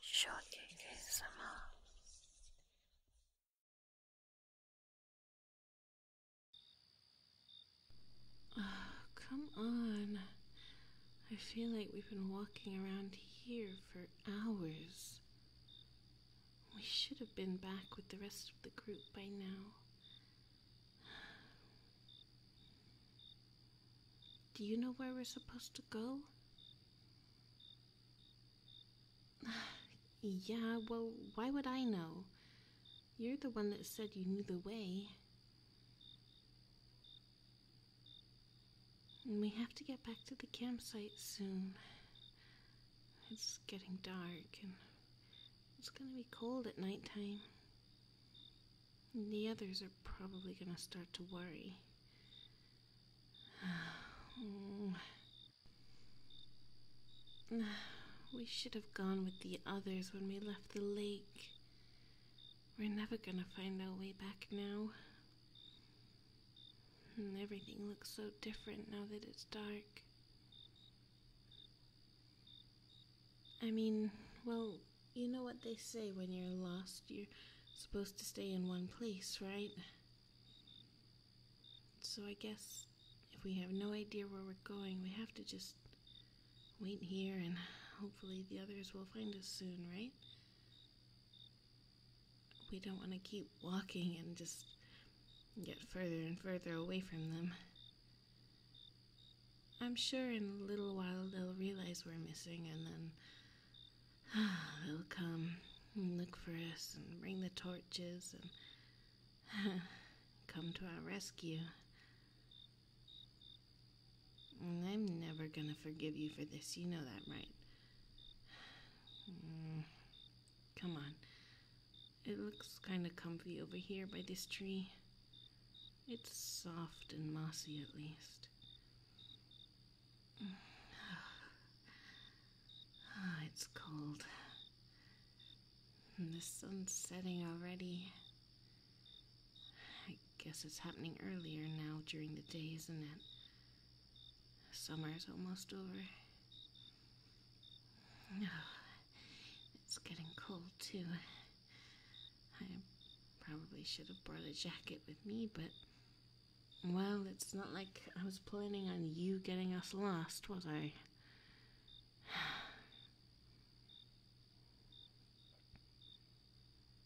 Shorty ASMR. Oh, come on. I feel like we've been walking around here for hours. We should have been back with the rest of the group by now. Do you know where we're supposed to go? yeah, well, why would I know? You're the one that said you knew the way. And we have to get back to the campsite soon. It's getting dark and it's gonna be cold at nighttime the others are probably going to start to worry. We should have gone with the others when we left the lake. We're never gonna find our way back now. And everything looks so different now that it's dark. I mean, well, you know what they say when you're lost, you're supposed to stay in one place, right? So I guess if we have no idea where we're going, we have to just wait here and hopefully the others will find us soon, right? We don't want to keep walking and just get further and further away from them. I'm sure in a little while they'll realize we're missing and then They'll come and look for us and bring the torches and come to our rescue. I'm never gonna forgive you for this. You know that, right? Mm. come on. It looks kind of comfy over here by this tree. It's soft and mossy at least. Ah, it's cold. And the sun's setting already. I guess it's happening earlier now during the day, isn't it? Summer's almost over. it's getting cold too. I probably should have brought a jacket with me, but. Well, it's not like I was planning on you getting us lost, was I?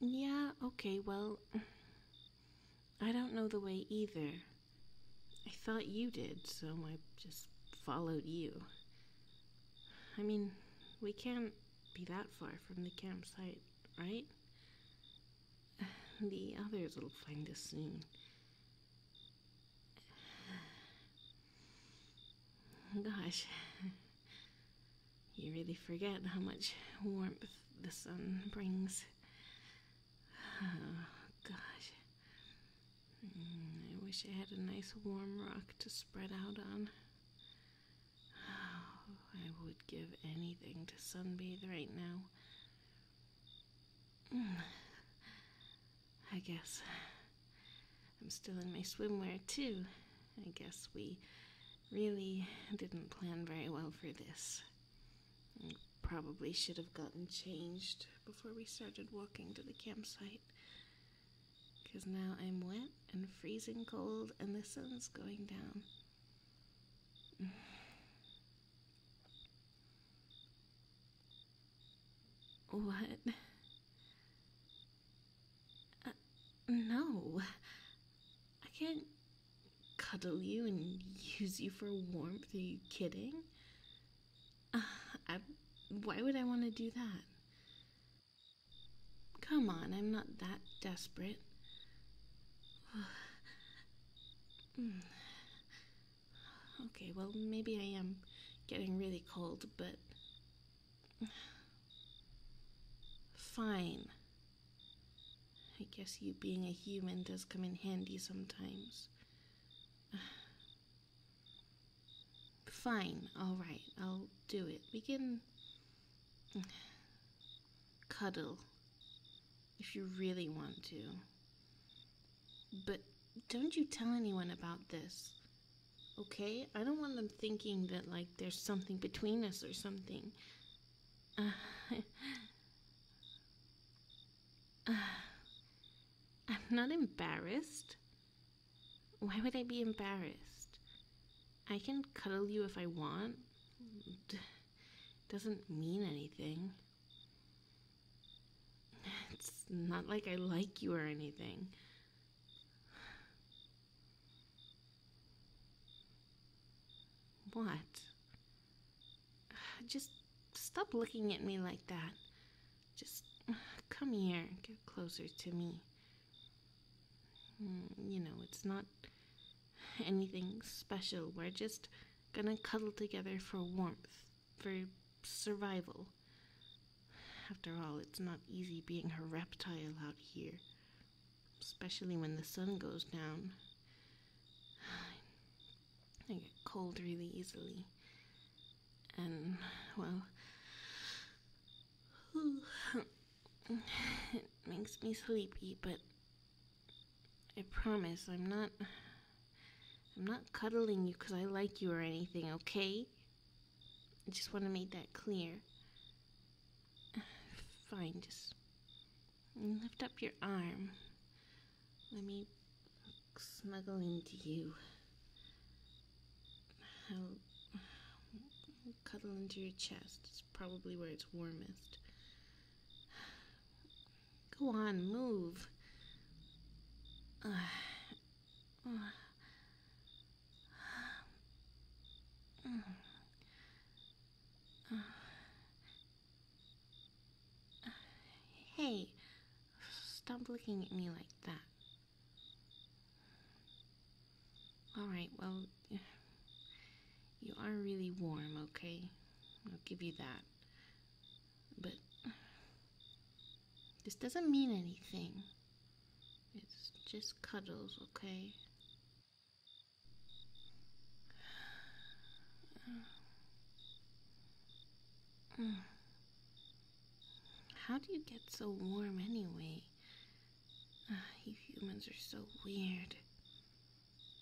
yeah, okay, well. I don't know the way either. I thought you did, so I just followed you. I mean, we can't be that far from the campsite, right? The others will find us soon. Gosh, you really forget how much warmth the sun brings. gosh. Mm, I wish I had a nice warm rock to spread out on. I would give anything to sunbathe right now. I guess I'm still in my swimwear too. I guess we really didn't plan very well for this. probably should have gotten changed before we started walking to the campsite because now I'm wet and freezing cold, and the sun's going down. What? Uh, no. I can't cuddle you and use you for warmth. Are you kidding? why would I want to do that? Come on, I'm not that desperate. okay, well, maybe I am getting really cold, but. Fine. I guess you being a human does come in handy sometimes. Fine, alright, I'll do it. We can Cuddle. If you really want to. But don't you tell anyone about this. Okay? I don't want them thinking that, like, there's something between us or something. I'm not embarrassed. Why would I be embarrassed? I can cuddle you if I want. It doesn't mean anything. It's not like I like you or anything. What? Just stop looking at me like that. Just come here, get closer to me. Mm, you know, it's not anything special. We're just gonna cuddle together for warmth, for survival. After all, it's not easy being a reptile out here, especially when the sun goes down. I get cold really easily. And, well, it makes me sleepy, but I promise I'm not I'm not cuddling you cuz I like you or anything, okay? I just want to make that clear. Fine, just lift up your arm. Let me smuggle into you. I'll, cuddle into your chest. It's probably where it's warmest. Go on, move. hey, stop looking at me like that. Alright, well, you are really warm, okay? I'll give you that. But this doesn't mean anything. It's just cuddles, okay? How do you get so warm anyway? Ah, you humans are so weird.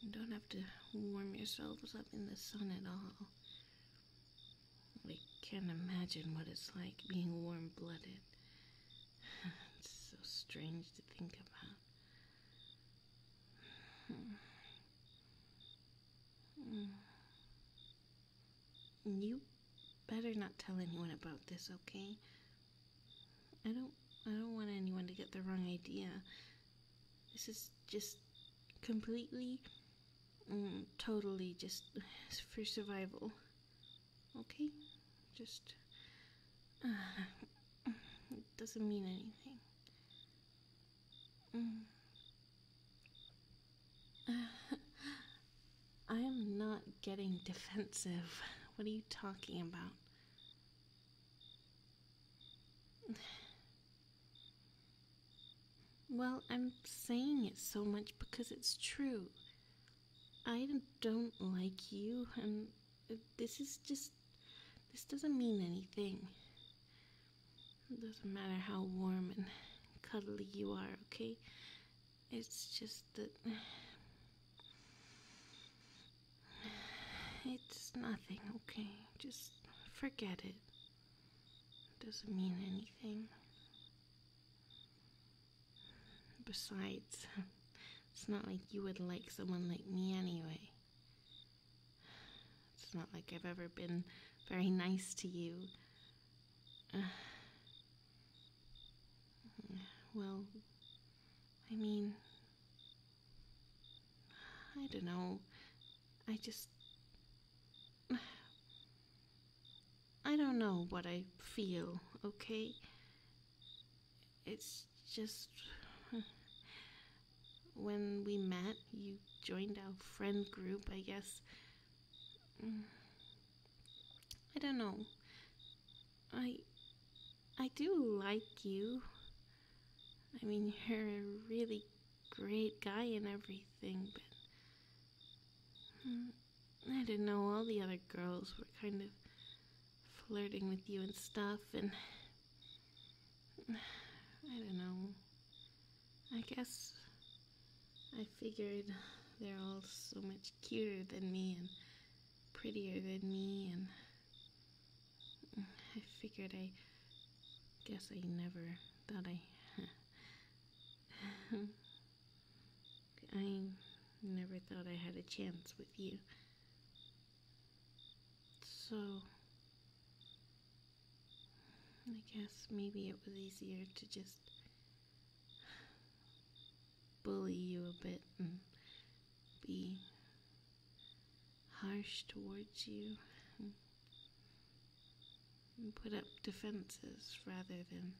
You don't have to warm yourselves up in the sun at all. We can't imagine what it's like being warm blooded. it's so strange to think about. Hmm. Hmm. Mm, you better not tell anyone about this, okay? I don't I don't want anyone to get the wrong idea. This is just completely mm, totally just for survival. Okay? Just doesn't mean anything. Mm. I am not getting defensive. What are you talking about? Well, I'm saying it so much because it's true. I don't like you, and this is just. This doesn't mean anything. It doesn't matter how warm and cuddly you are, okay? It's just that. It's nothing, okay? Just forget it. Doesn't mean anything. Besides, it's not like you would like someone like me anyway. It's not like I've ever been very nice to you. Well, I mean, I don't know. I just. I don't know what I feel, okay? It's just. When we met, you joined our friend group, I guess. I don't know. I I do like you. I mean, you're a really great guy and everything, but hmm, I didn't know all the other girls were kind of flirting with you and stuff and I don't know. I guess I figured they're all so much cuter than me and prettier than me and I figured I guess I never thought I I never thought I had a chance with you. So I guess maybe it was easier to just bully you a bit and be harsh towards you and put up defenses rather than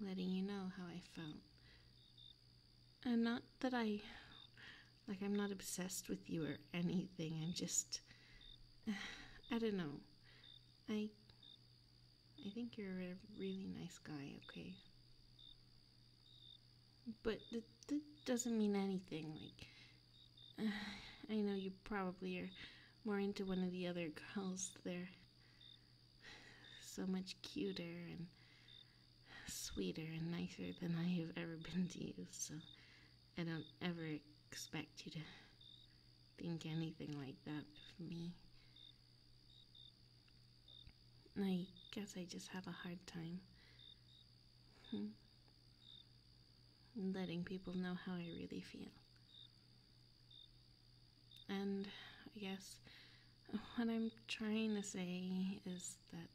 letting you know how I felt. And not that I, like, I'm not obsessed with you or anything, I'm just, I don't know. I I think you're a really nice guy, okay? But that, doesn't mean anything. Like, I know you probably are more into one of the other girls. They're so much cuter and sweeter and nicer than I have ever been to you, so I don't ever expect you to think anything like that of me. I guess I just have a hard time hmm, letting people know how I really feel. And I guess what I'm trying to say is that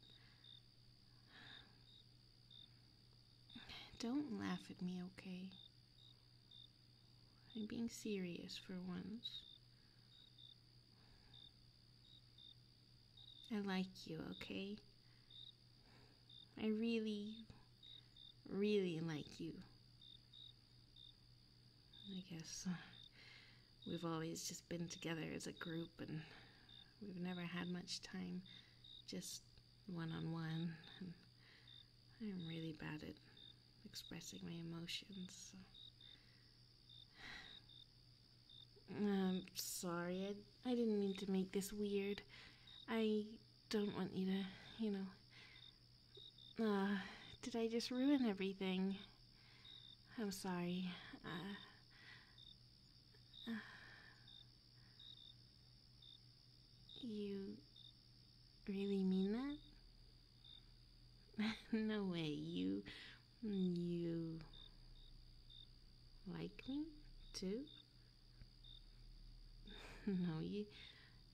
don't laugh at me, okay? I'm being serious for once. I like you, okay? I really, really like you. I guess uh, we've always just been together as a group and we've never had much time just one-on-one. -on -one. on i am really bad at expressing my emotions. So. I'm sorry. I, I didn't mean to make this weird. I don't want you to, you know. Uh, did I just ruin everything? I'm sorry. Uh, uh, you really mean that? no way, you. you. like me too? no, you.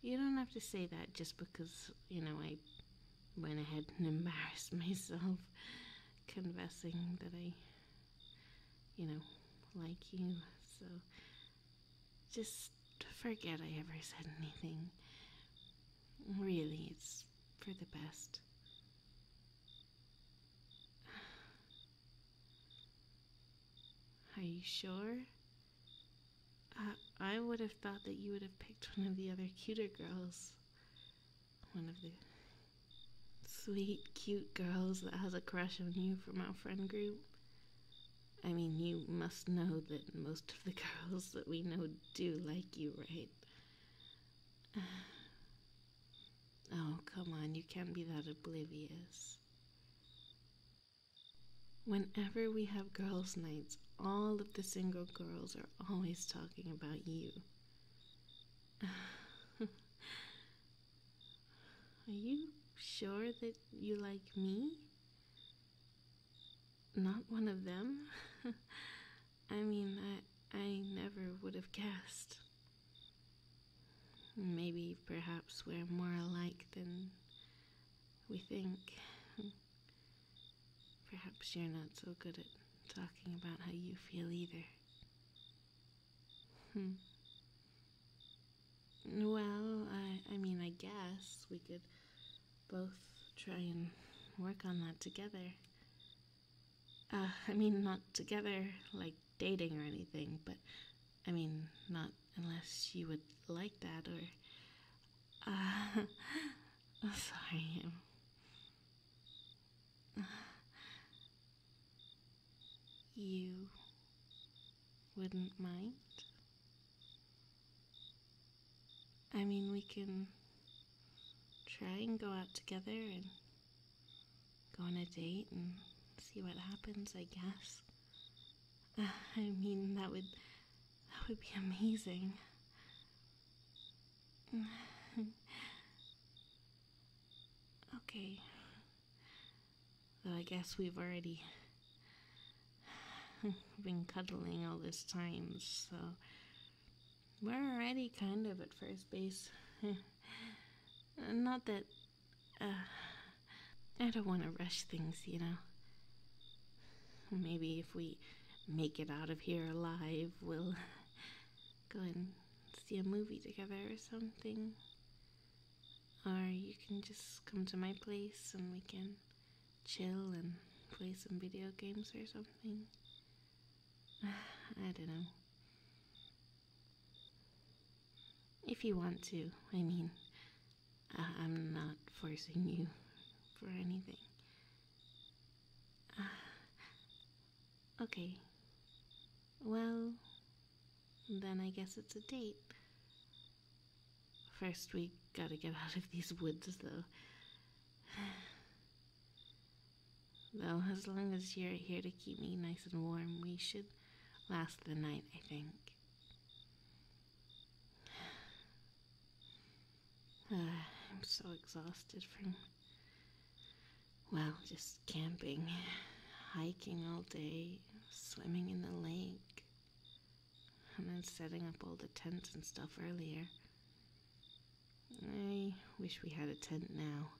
You don't have to say that just because, you know, I went ahead and embarrassed myself confessing that I you know, like you. So just forget I ever said anything. Really, it's for the best. Are you sure? I I would have thought that you would have picked one of the other cuter girls. One of the sweet, cute girls that has a crush on you from our friend group. I mean, you must know that most of the girls that we know do like you, right? Oh, come on, you can't be that oblivious. Whenever we have girls' nights, all of the single girls are always talking about you. Are you sure that you like me? Not one of them? I mean, I, I never would have guessed. Maybe, perhaps, we're more alike than we think. Perhaps you're not so good at talking about how you feel either. Hmm. Well, I, I mean, I guess we could both try and work on that together. Uh, I mean, not together like dating or anything, but I mean, not unless you would like that or. Uh, sorry. You wouldn't mind? I mean, we can try and go out together and go on a date and see what happens, I guess. I mean, that would that would be amazing. okay. Though I guess we've already been cuddling all this time, so we're already kind of at first base. Not that uh, I don't want to rush things, you know. Maybe if we make it out of here alive, we'll go and see a movie together or something. Or you can just come to my place and we can chill and play some video games or something. I don't know. If you want to, I mean, uh, I am not forcing you for anything. Okay. Well, then I guess it's a date. First, we gotta get out of these woods, though. though, as long as you're here to keep me nice and warm, we should last the night, I think. Ah, I'm so exhausted from well, just camping, hiking all day, swimming in the lake, and then setting up all the tents and stuff earlier. I wish we had a tent now.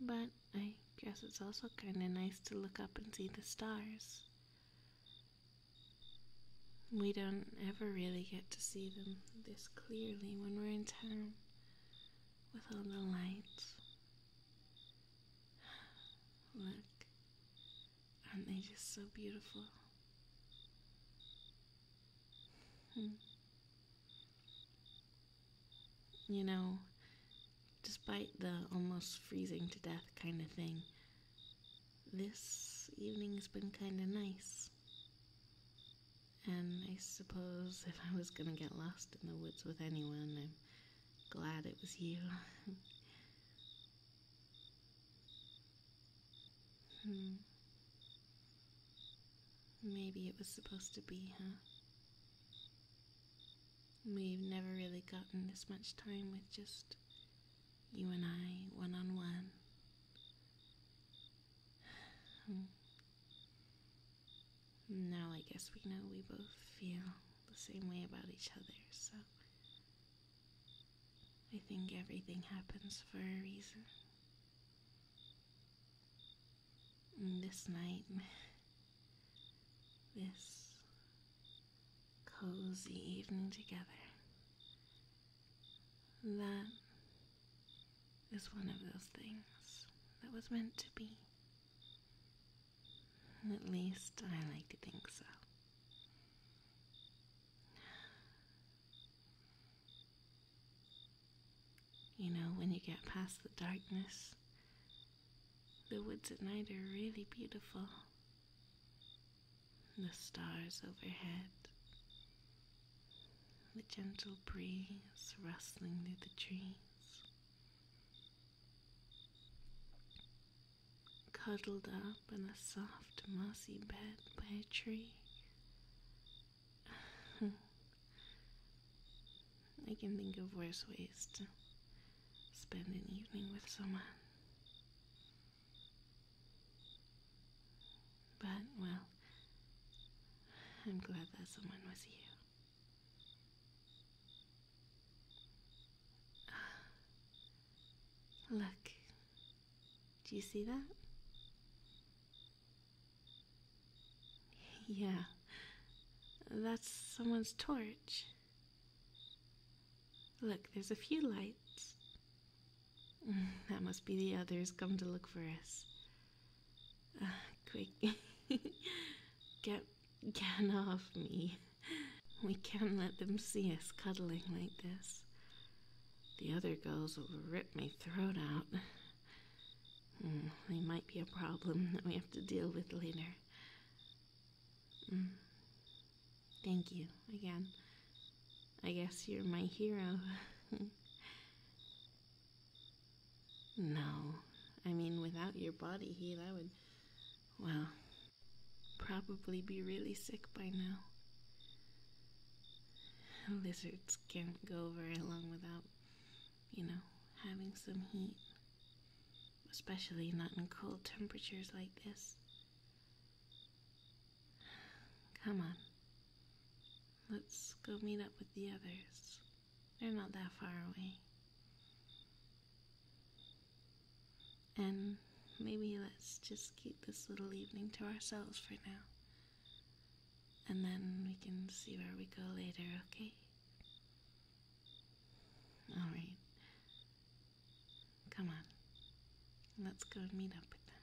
But I guess it's also kind of nice to look up and see the stars. We don't ever really get to see them this clearly when we're in town with all the lights. Look, aren't they just so beautiful? Hmm. You know, despite the almost freezing to death kind of thing, this evening's been kind of nice. And I suppose if I was gonna get lost in the woods with anyone, I'm glad it was you. Hmm. Maybe it was supposed to be, huh? We've never really gotten this much time with just you and I, one on one. Now I guess we know we both feel the same way about each other, so I think everything happens for a reason. this night, this cozy evening together, that is one of those things that was meant to be. At least I like to think so. You know, when you get past the darkness, the woods at night are really beautiful. The stars overhead, the gentle breeze rustling through the trees. Cuddled up in a soft, mossy bed by a tree. I can think of worse ways to spend an evening with someone. But, well, I'm glad that someone was here. Look, do you see that? Yeah, that's someone's torch. Look, there's a few lights. That must be the others come to look for us. Ah, quick, get, get off me. We can't let them see us cuddling like this. The other girls will rip my throat out. Hmm, they might be a problem that we have to deal with later. Hmm. Thank you again. I guess you're my hero. No. I mean, without your body heat, I would, well, probably be really sick by now. Lizards can't go very long without, you know, having some heat. Especially not in cold temperatures like this. Come on. Let's go meet up with the others. They're not that far away. And maybe let's just keep this little evening to ourselves for now. And then we can see where we go later, okay? Alright. Come on. Let's go meet up with them.